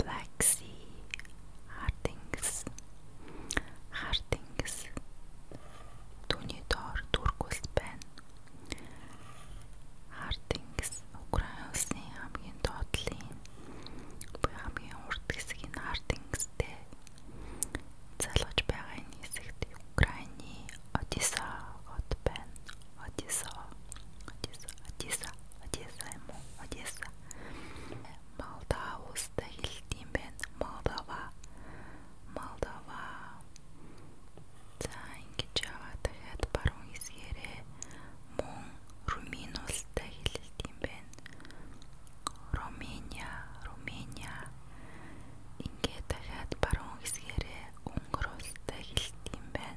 Black Sea, Хардингс, Хардингс түүний доор Турк улс байна. Хардингс Украин улсны хамгийн доотлын буюу хамгийн урт хэсэг нь Хардингстэй залгаж байгаа энэ хэсэгт Украины Одесса хот байна. Одесса, Одесса, Одесса, Одесса юм уу? Одесса Молдова устай хэлдэм байна. Молдова. Молдова. За ингэж яваад дахиад баруун хэсгээрээ мөн Румын улстай хэлдэм байна. Румыниа, Румыниа. Ингээд дахиад баруун хэсгээрээ Унгар улстай хэлдэм байна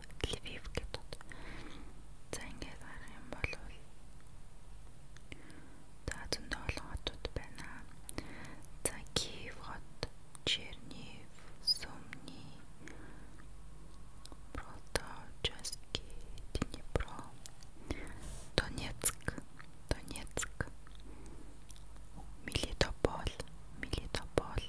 Лвив гэдэг. За ингээд гарах юм бол За зөндөө олон хотууд байна. За Киев хот, Чернив, Сумни, Проточески, Днепро, Донецк, Донецк, Мелитополь, Мелитополь,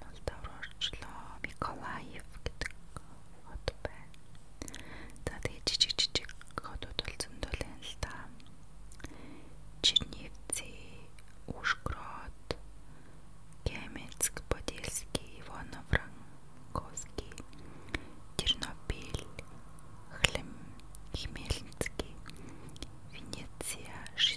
Молдов руу орчлоо. Миколаев гэдэг хот байна. За тэгээ жижиг жижиг хотууд бол зөндөл байна л да. Чернивцы, Ужгород, Кемецк, Подольский, Ивано-Франковский, Тернопиль, Хлем, Хмельницкий, Венеция, Швейцария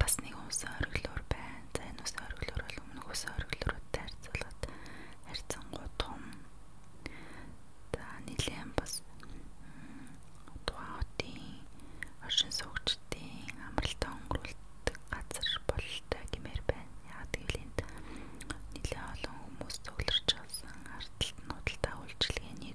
Бас нэг усан оргилуур байна. За энэ усан оргилуур бол өмнөх усан оргилууруудтай харьцуулаад харьцангуй том. За нэлээд бас тухайн оршин суугчдын амралтаа өнгөрүүлдэг газар болтой гэмээр байна. Яг тэгвэл энд нэлээд олон хүмүүс цугларч авсан ардталтнуудтай үйлчлэгээний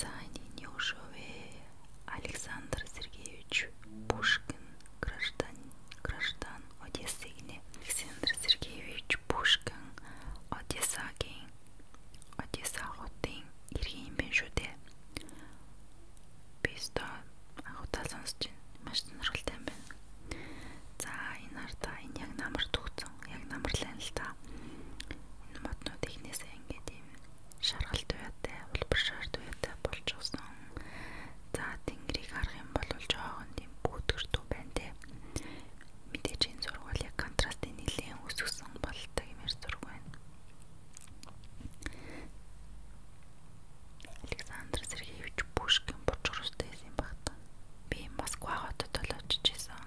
За энэ Юшове Александр Сергеевич Пушкин граждан граждан Одессы гинэ. Александр Сергеевич Пушкин Одессагийн Одесса хотын иргэн юм биш үү те. Биста анхудаа сонсож байна. Маш сонирхолтой юм байна. За энэ ардаа энэ яг намар төгцөн. Яг намарлаа л та энэ моднууд ихнээсээ ингээд юм шаргалт уяатай, улбар шарт уяатай болж усан. За тэнгэрийг харах юм бол жоохон тийм бүтгэртүү байна те. Мэдээж энэ зургуул яг контрастын нэлийн өсгсөн болтой юм ярь зург байна. Александр Сергеевич Пушкин бочростой юм багтаа. Би Москва хотод л очиж исэн.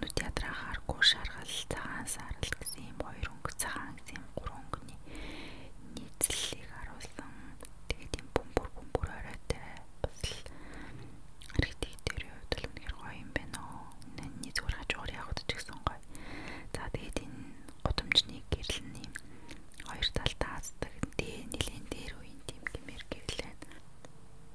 нүд ядраа хааргүй шаргал цагаан сарал гэсэн ийм хоёр өнгө цагаан гэсэн ийм гурван өнгөний нийцлэлийг харуулсан. Тэгээд ийм бөмбөр бөмбөр оройтой бас л архитектурын хувьд л үнэхээр гоё юм байна уу. Наны зүгээр хажуугаар явах ч гэсэн гоё. За тэгээд энэ гудамжны гэрэл нь ийм хоёр талдаа аздаг. Дээ нилийн дээр үеийн тийм гэмээр гэрлэн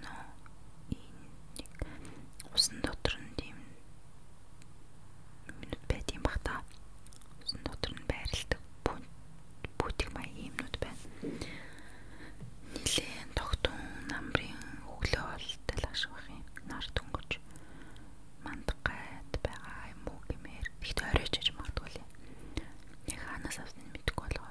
байна уу? Энэ нэг усан дотор нь тийм минут байт юм бах та. Усан дотор нь байрладаг бүтээг маяг юмнууд байна. Нилээн тогтун намрын өглөө болтой л ашиг бах юм. Нар дөнгөж мандаг гайд байгаа юм уу гэмээр. Тэгт оройч аж магадгүй л. Яг ханаас авсан мэдгүй болгоо.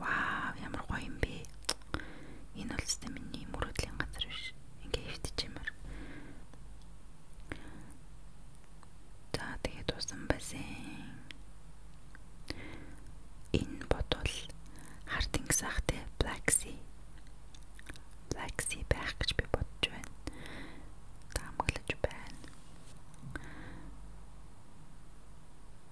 Вау, ямар гоё юм бэ. Энэ бол зөвхөн миний мөрөдлийн газар биш. Ингээ хөвтчихэмэр. За тэгээд усан бассейн. Энэ бодвол хар тэнгис ахтай Black Sea. Black Sea байх гэж би бодож байна. Таамаглаж байна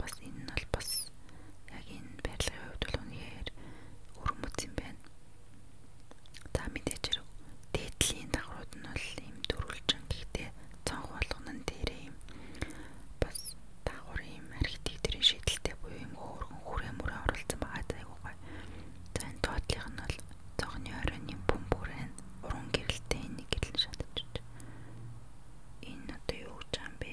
бас энэ нь бол бас яг энэ барилгын хувьд бол үнэхээр өрмөц юм байна. За мэдээж хэрэг дээдлийн дагрууд нь бол ийм дөрвөлжин гэхдээ цонх болгоно нь дээрээ юм бас дагуур ийм архитектурын шийдэлтэй буюу ийм хөөргөн хүрээ мөрөө оролцсон байгаа айгуу гоё. За энэ тоотлих нь бол цонхны оройн бүм бүрэн уран гэрэлтэй нэг гэрэл шатаж байна. Энэ одоо юу гэж юм бэ?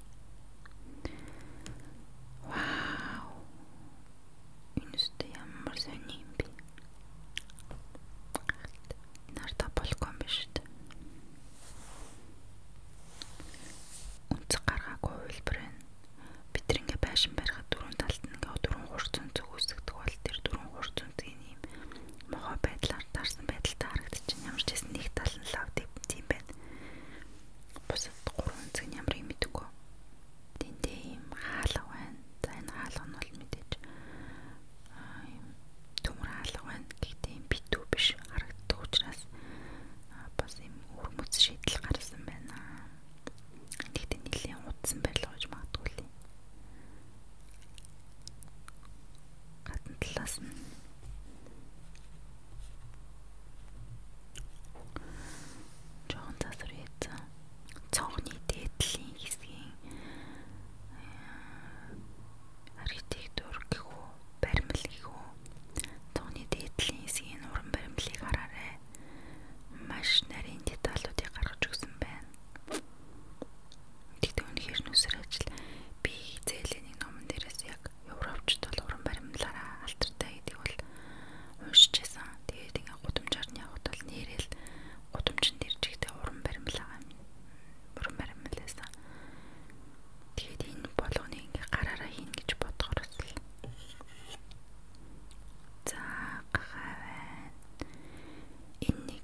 Вау. Энэ үстэй ямар сони юм бэ? Нарта балкон биш үү? Үнцэг гаргаагүй хөвлөр байна. Бид тэр ингээ байшин барихад дөрөв талд нь ингээ дөрөв хурцын зүг үсгдэг бол тэр дөрөв хурцын зүгийн юм мохоо байдлаар дарсан байдалтай харагдчихна. Ямар ч хэсэн нэг тал нь лав тийм байна. Бусад гурван өнцөг нь ямар юм мэдээгүй. Тэндээ ийм хаалга байна. За энэ хаалга нь бол мэдээж ийм төмөр хаалга байна. Гэхдээ ийм битүү биш харагддаг учраас бас ийм өрмөц шийдэл гарсан байна. Гэхдээ нэлийн удсан барил гоож магадгүй л. Гадна талаас нь Жохон засвар хийцэн. Цонхны дээдлийн хэсгийн э, архитектур гэх үү, баримл гэх үү. Цонхны дээдлийн хэсгийн уран баримлыг хараарай. Маш нарийн деталлуудыг гаргаж өгсөн байна. Тэгтээ үнэхээр нүсэр ажил би зээлийн нэг номон дээрээс яг Европчд бол уран баримлаараа алдартай гэдэг бол уншиж байсан. Тэгээд ингээ гудамжаар нь явхад бол нээрэл гудамжинд иржигтэй уран баримлаа уран баримлаасан. Тэгээд энэ болгоны ингээ гараараа хийнэ гэж бодгоор л. За гаваа. Энэ нэг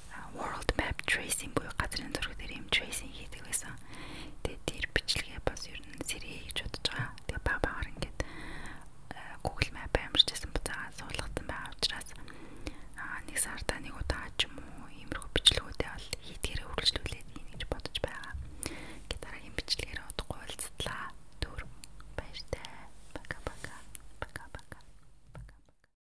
world map tracing буюу газрын зураг дээр юм tracing хийдэг байсан. Тэгээд тэр бичлэгээ бас ер нь сэрээ гэж бодож байгаа. Тэгээд баг багаар ингээд Google Map амарчсан буцаага суулгасан байгаа учраас аа нэг сарда нэг удаа ч юм уу иймэрхүү бичлэгүүдээ бол хийдгээрээ үргэлжлүүлээд ийн гэж бодож байгаа. Ингээд дараагийн бичлэгээр удахгүй уулзлаа. Түр баяртай. Пока пока. Пока пока.